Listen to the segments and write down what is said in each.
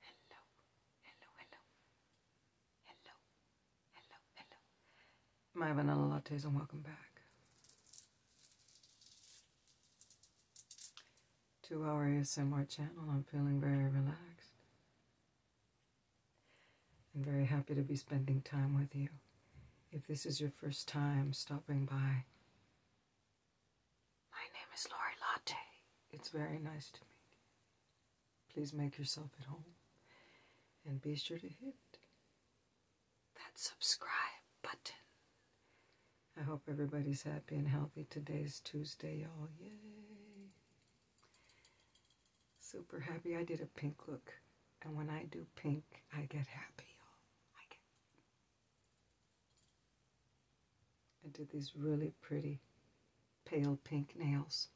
Hello, hello, hello, hello, hello, hello. My vanilla lattes and welcome back to our ASMR channel. I'm feeling very relaxed. I'm very happy to be spending time with you. If this is your first time stopping by, my name is Lori Latte. It's very nice to meet you. Please make yourself at home and be sure to hit that subscribe button. I hope everybody's happy and healthy. Today's Tuesday, y'all. Yay! super happy. I did a pink look, and when I do pink, I get happy, y'all. I did these really pretty pale pink nails.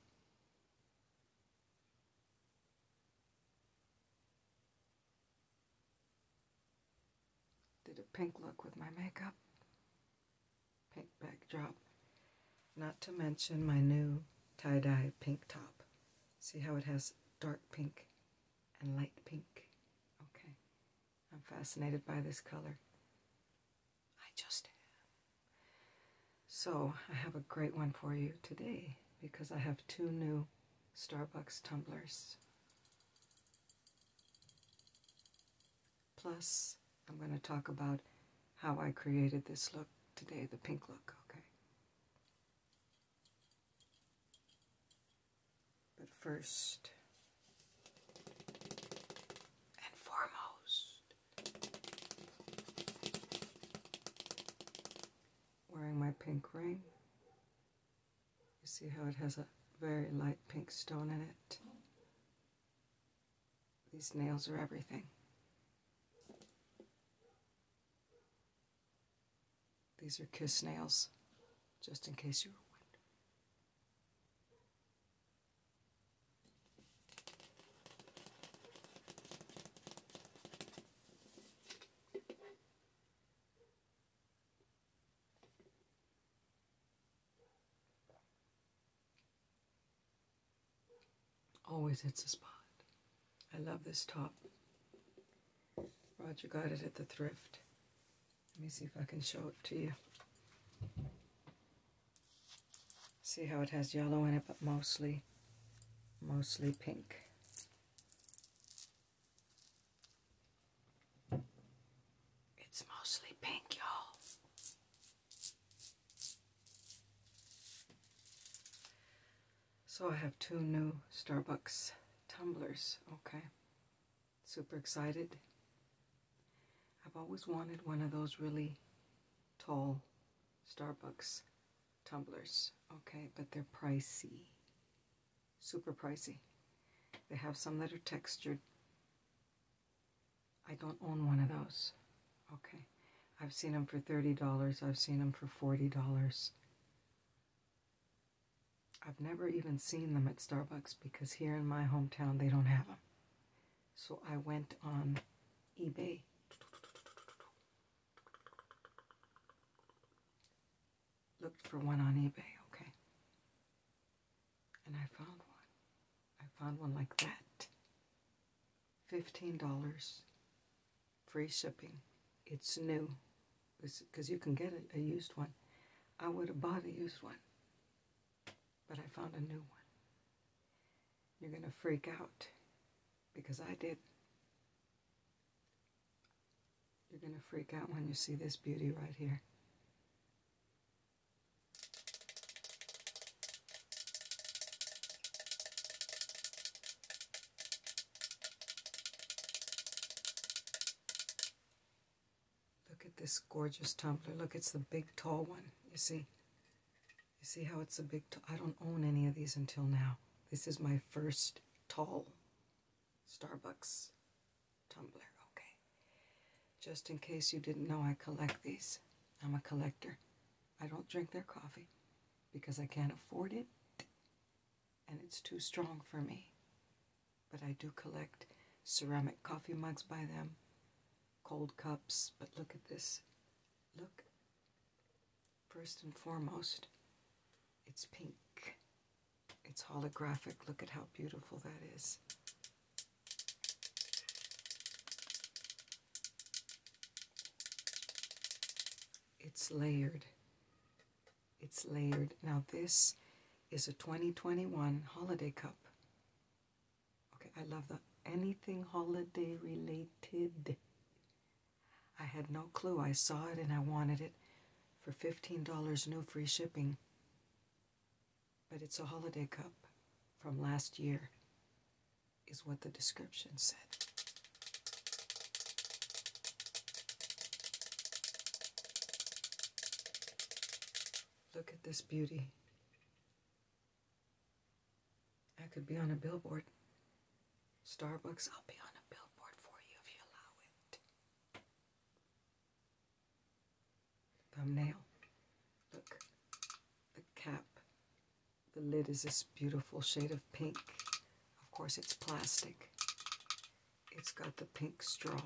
Did a pink look with my makeup. Pink backdrop, not to mention my new tie-dye pink top. See how it has dark pink and light pink? Okay. I'm fascinated by this color. I just am. So I have a great one for you today because I have two new Starbucks tumblers. Plus I'm going to talk about how I created this look today, the pink look, okay? But first and foremost, wearing my pink ring. You see how it has a very light pink stone in it? These nails are everything. These are kiss nails, just in case you were Always hits the spot. I love this top. Roger got it at the thrift. Let me see if I can show it to you. See how it has yellow in it, but mostly, mostly pink. It's mostly pink, y'all. So I have two new Starbucks tumblers, okay. Super excited. I've always wanted one of those really tall Starbucks tumblers, okay, but they're pricey, super pricey. They have some that are textured. I don't own one of those. Okay. I've seen them for $30. I've seen them for $40. I've never even seen them at Starbucks because here in my hometown they don't have them. So I went on eBay. Looked for one on eBay, okay. And I found one. I found one like that. $15 free shipping. It's new because you can get a, used one. I would have bought a used one, but I found a new one. You're going to freak out because I did. You're going to freak out when you see this beauty right here. Look at this gorgeous tumbler. Look, it's the big tall one. You see? You see how it's a big I don't own any of these until now. This is my first tall Starbucks tumbler. Okay. Just in case you didn't know I collect these. I'm a collector. I don't drink their coffee because I can't afford it and it's too strong for me. But I do collect ceramic coffee mugs by them, cold cups. But look at this. Look, first and foremost, it's pink. It's holographic. Look at how beautiful that is. It's layered. It's layered. Now this is a 2021 holiday cup. Okay, I love that. Anything holiday related. I had no clue. I saw it and I wanted it for $15 No free shipping. But it's a holiday cup from last year is what the description said. Look at this beauty. I could be on a billboard. Starbucks, I'll be on a billboard for you if you allow it. Thumbnail. Look, the cap the lid is this beautiful shade of pink. Of course, it's plastic. It's got the pink straw.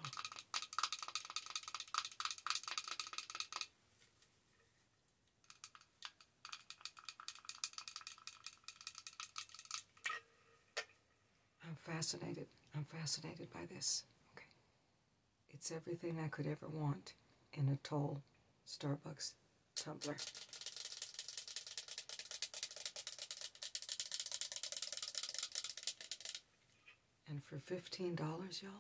I'm fascinated. I'm fascinated by this. Okay. It's everything I could ever want in a tall Starbucks tumbler. And for $15, y'all,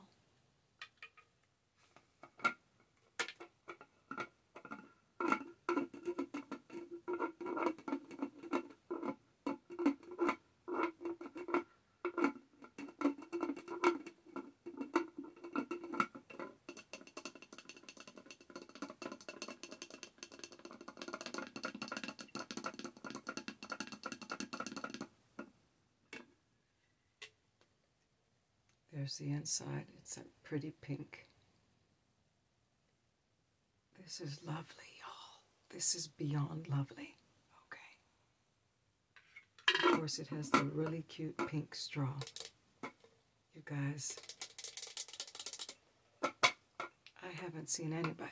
there's the inside. It's a pretty pink. This is lovely, y'all. This is beyond lovely. Okay. Of course, it has the really cute pink straw. You guys, I haven't seen anybody,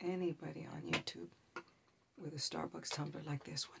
anybody on YouTube with a Starbucks tumbler like this one.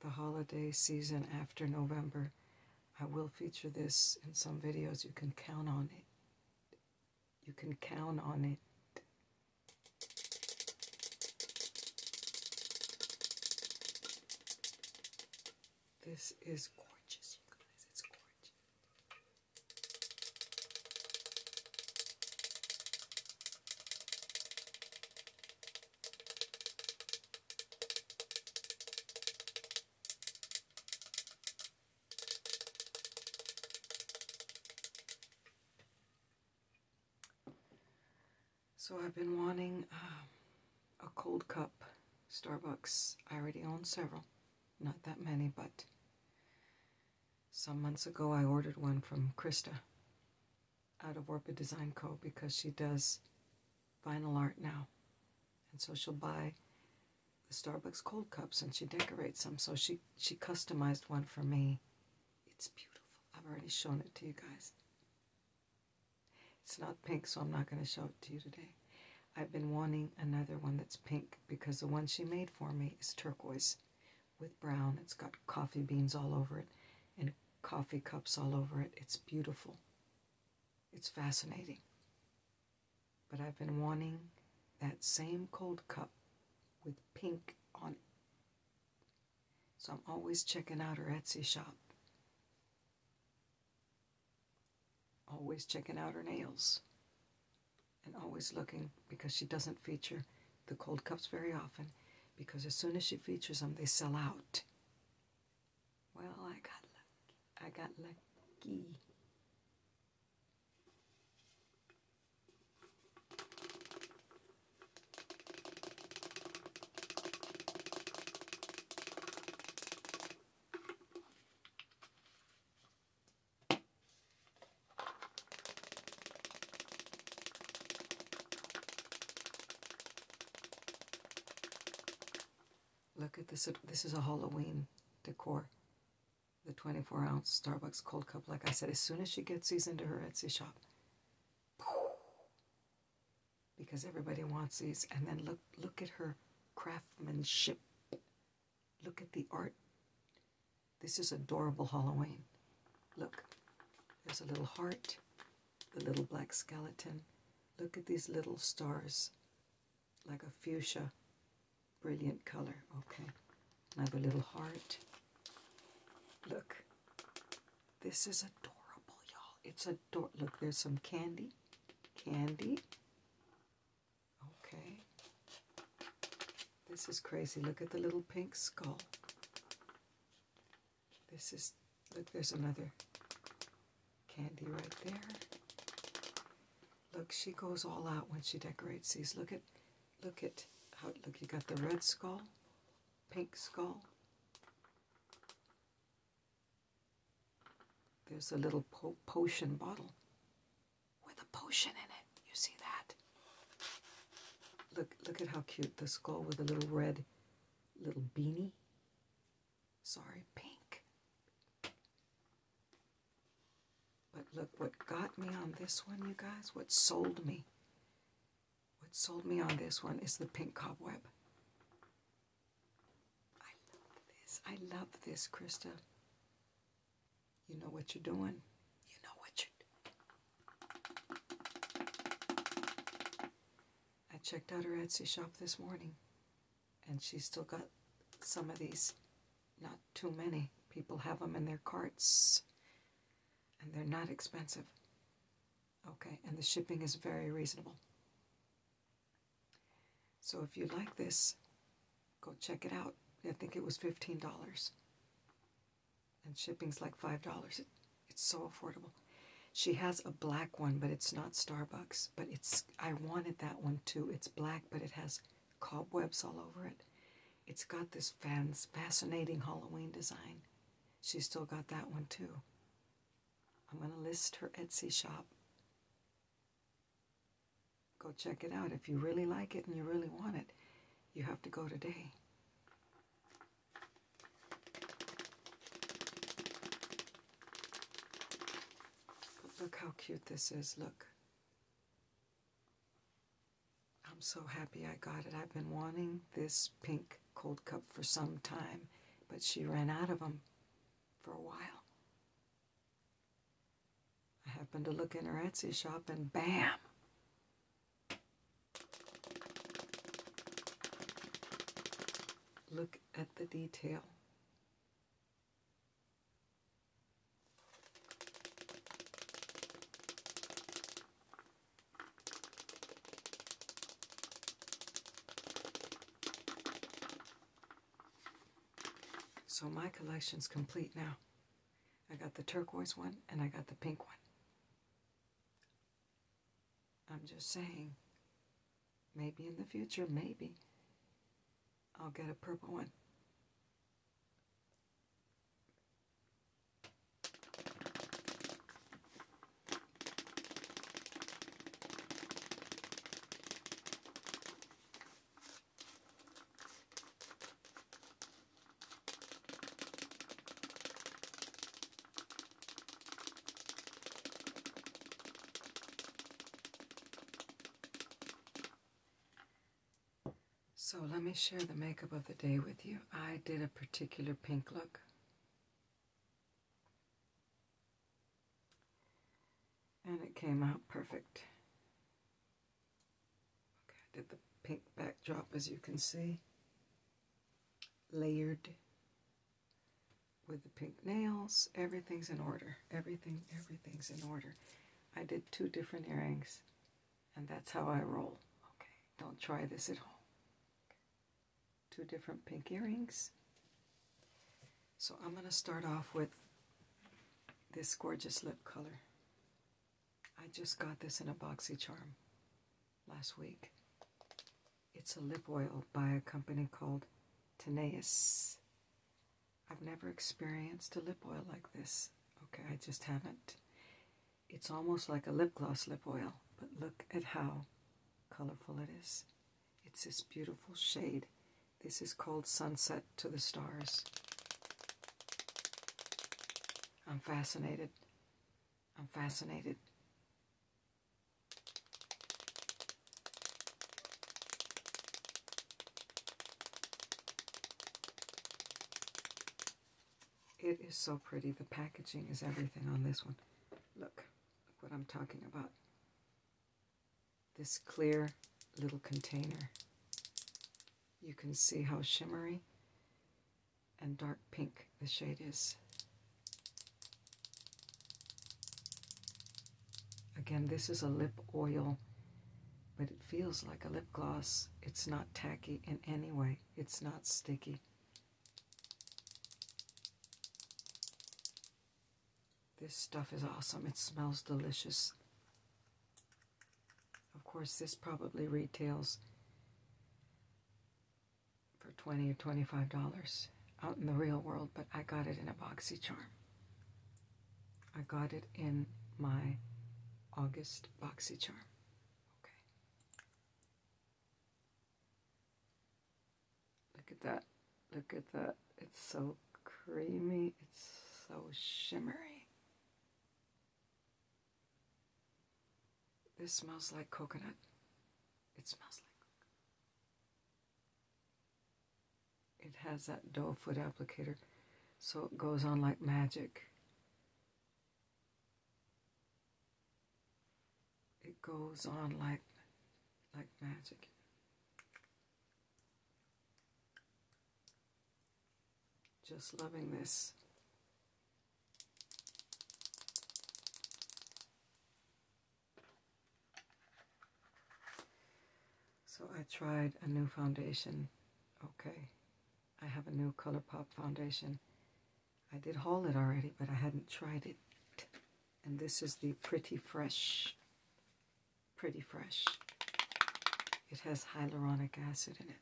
the holiday season after November. I will feature this in some videos. You can count on it. You can count on it. This is gorgeous, you guys. It's gorgeous. So I've been wanting uh, a cold cup Starbucks. I already own several. Not that many, but some months ago I ordered one from Krista out of Orpa Design Co. because she does vinyl art now. And so she'll buy the Starbucks cold cups and she decorates them. So she, she customized one for me. It's beautiful. I've already shown it to you guys. It's not pink, so I'm not going to show it to you today. I've been wanting another one that's pink because the one she made for me is turquoise with brown. It's got coffee beans all over it and coffee cups all over it. It's beautiful. It's fascinating. But I've been wanting that same cold cup with pink on it. So I'm always checking out her Etsy shop. Always checking out her nails. And always looking because she doesn't feature the cold cups very often because as soon as she features them, they sell out. Well, I got lucky. I got lucky. Look at this. This is a Halloween decor. The 24 ounce Starbucks cold cup. Like I said, as soon as she gets these into her Etsy shop, because everybody wants these. And then look, look at her craftsmanship. Look at the art. This is adorable Halloween. Look, there's a little heart the little black skeleton. Look at these little stars, like a fuchsia. Brilliant color. Okay. another little heart. Look. This is adorable, y'all. It's adorable. Look, there's some candy. Candy. Okay. This is crazy. Look at the little pink skull. This is, look, there's another candy right there. Look, she goes all out when she decorates these. Look at, look at how, look, you got the red skull, pink skull. There's a little potion bottle with a potion in it. You see that? Look, look at how cute the skull with the little red little beanie. Sorry, pink. But look, what got me on this one, you guys, what sold me, what sold me on this one is the pink cobweb. I love this. I love this, Krista. You know what you're doing. You know what you're doing. I checked out her Etsy shop this morning, and she's still got some of these. Not too many. People have them in their carts, and they're not expensive. Okay, and the shipping is very reasonable. So if you like this, go check it out. I think it was $15. And shipping's like $5. it's so affordable. She has a black one, but it's not Starbucks. But it's I wanted that one too. It's black, but it has cobwebs all over it. It's got this fascinating Halloween design. She's still got that one too. I'm gonna list her Etsy shop. Go check it out. If you really like it and you really want it, you have to go today look how cute this is, look. I'm so happy I got it. I've been wanting this pink cold cup for some time, but she ran out of them for a while. I happened to look in her Etsy shop and bam! Look at the detail. So my collection's complete now. I got the turquoise one and I got the pink one. I'm just saying, maybe in the future, maybe I'll get a purple one. So let me share the makeup of the day with you. I did a particular pink look. And it came out perfect. did the pink backdrop as you can see. Layered with the pink nails. Everything's in order. Everything, everything's in order. I did two different earrings, and that's how I roll. Okay, don't try this at home. Two different pink earrings. So I'm going to start off with this gorgeous lip color. I just got this in a boxy charm last week. It's a lip oil by a company called Tenaeus. I've never experienced a lip oil like this. Okay, I just haven't. It's almost like a lip gloss lip oil, but look at how colorful it is. It's this beautiful shade. This is called Sunset to the Stars. I'm fascinated. I'm fascinated. It is so pretty. The packaging is everything on this one. Look, what I'm talking about. This clear little container. You can see how shimmery and dark pink the shade is. Again, this is a lip oil, but it feels like a lip gloss. It's not tacky in any way. It's not sticky. This stuff is awesome. It smells delicious. Of course, this probably retails for 20 or 25 dollars out in the real world but i got it in a boxy charm i got it in my august boxy charm okay look at that look at that it's so creamy it's so shimmery this smells like coconut it smells like it has that doe foot applicator, so it goes on like magic. It goes on like, like magic. Just loving this. So I tried a new foundation. Okay, I have a new ColourPop foundation. I did haul it already, but I hadn't tried it. And this is the Pretty Fresh. Pretty Fresh. It has hyaluronic acid in it.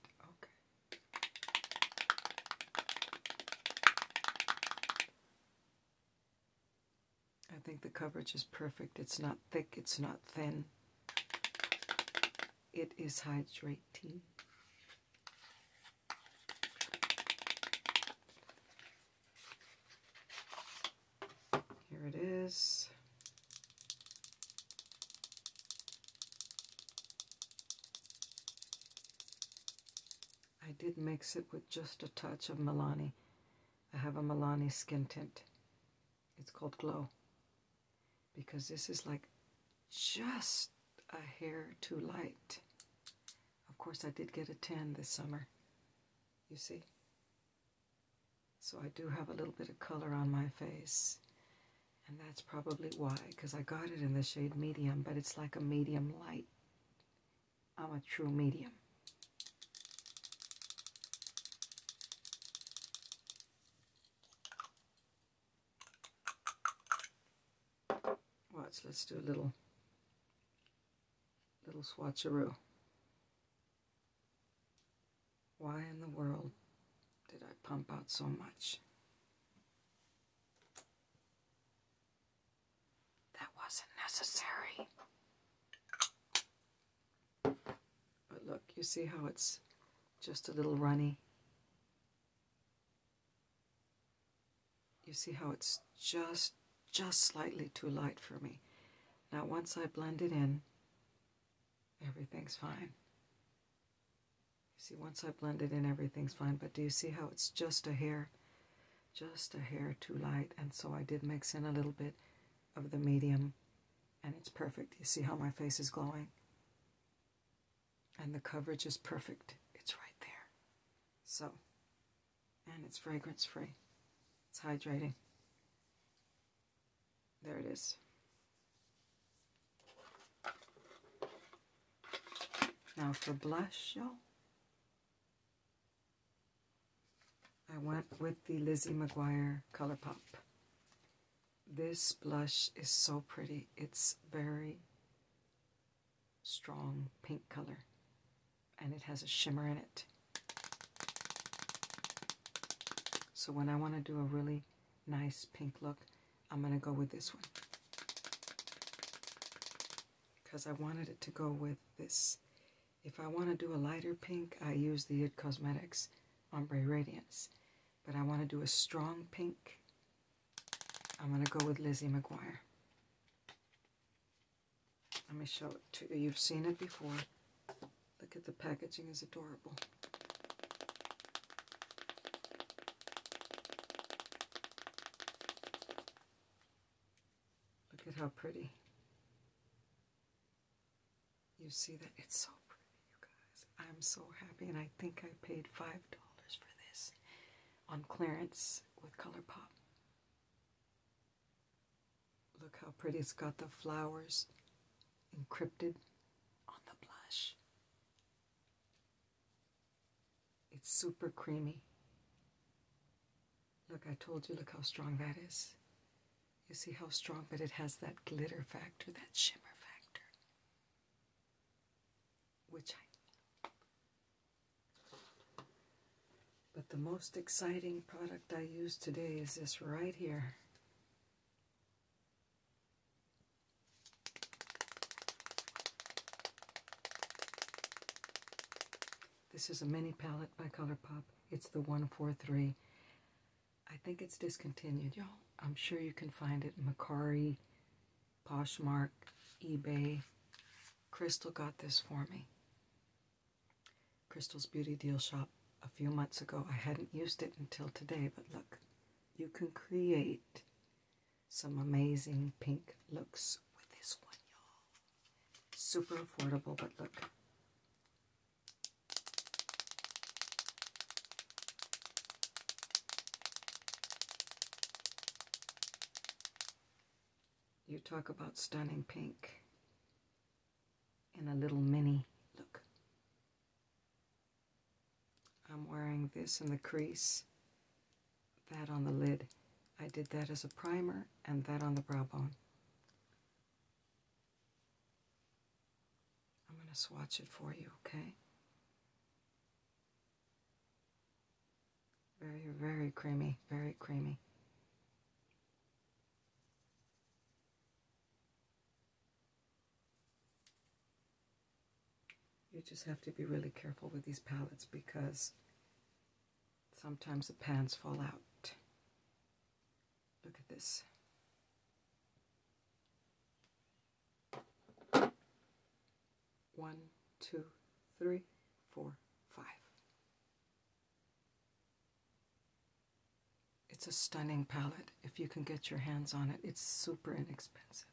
I think the coverage is perfect. It's not thick, it's not thin. It is hydrating. Here it is. I did mix it with just a touch of Milani. I have a Milani skin tint. It's called Glow. Because this is like just a hair too light. Of course, I did get a tan this summer. You see? So I do have a little bit of color on my face. And that's probably why, because I got it in the shade medium, but it's like a medium light. I'm a true medium. Watch, let's do a little, little swatcheroo. Why in the world did I pump out so much? That wasn't necessary. But look, you see how it's just a little runny? You see how it's just, just slightly too light for me. Now once I blend it in, everything's fine. You see, once I blend it in, everything's fine. But do you see how it's just a hair just a hair too light, and so I did mix in a little bit of the medium, and it's perfect. You see how my face is glowing? And the coverage is perfect. It's right there. So, and it's fragrance free. It's hydrating. There it is. Now for blush, y'all. I went with the Lizzie McGuire Colourpop. This blush is so pretty. It's very strong pink color and it has a shimmer in it. So when I want to do a really nice pink look, I'm going to go with this one. Because I wanted it to go with this if I want to do a lighter pink, I use the Id Cosmetics Ombre Radiance. But I want to do a strong pink, I'm going to go with Lizzie McGuire. Let me show it to you. You've seen it before. Look at the packaging is adorable. Look at how pretty. You see that? It's so pretty, you guys. I'm so happy, and I think I paid $5 for this on clearance with ColourPop. Look how pretty it's got the flowers encrypted on the blush. It's super creamy. Look, I told you, look how strong that is. You see how strong, but it has that glitter factor, that shimmer factor, which I. But the most exciting product I use today is this right here. This is a mini palette by ColourPop. It's the 143. I think it's discontinued, y'all. I'm sure you can find it. Macari, Poshmark, eBay. Crystal got this for me. Crystal's Beauty Deal Shop a few months ago. I hadn't used it until today, but look, you can create some amazing pink looks with this one, y'all. Super affordable, but look. You talk about stunning pink in a little mini look. I'm wearing this in the crease that on the lid. I did that as a primer and that on the brow bone. I'm going to swatch it for you, okay? Very, very creamy, very creamy. You just have to be really careful with these palettes because Sometimes the pans fall out. Look at this. One, two, three, four, five. It's a stunning palette if you can get your hands on it. It's super inexpensive.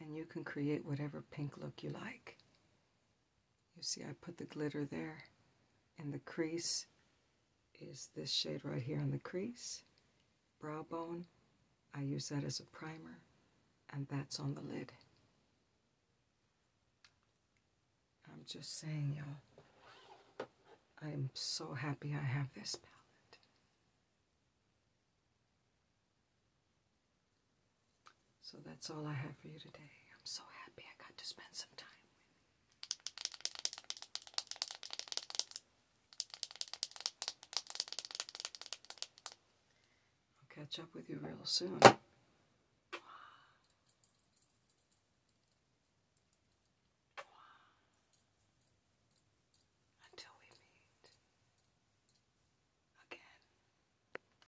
And you can create whatever pink look you like. You see, I put the glitter there, and the crease is this shade right here on the crease. Brow bone, I use that as a primer, and that's on the lid. I'm just saying, y'all, I'm so happy I have this palette. So that's all I have for you today. I'm so happy I got to spend some time with you. I'll catch up with you real soon. Until we meet again.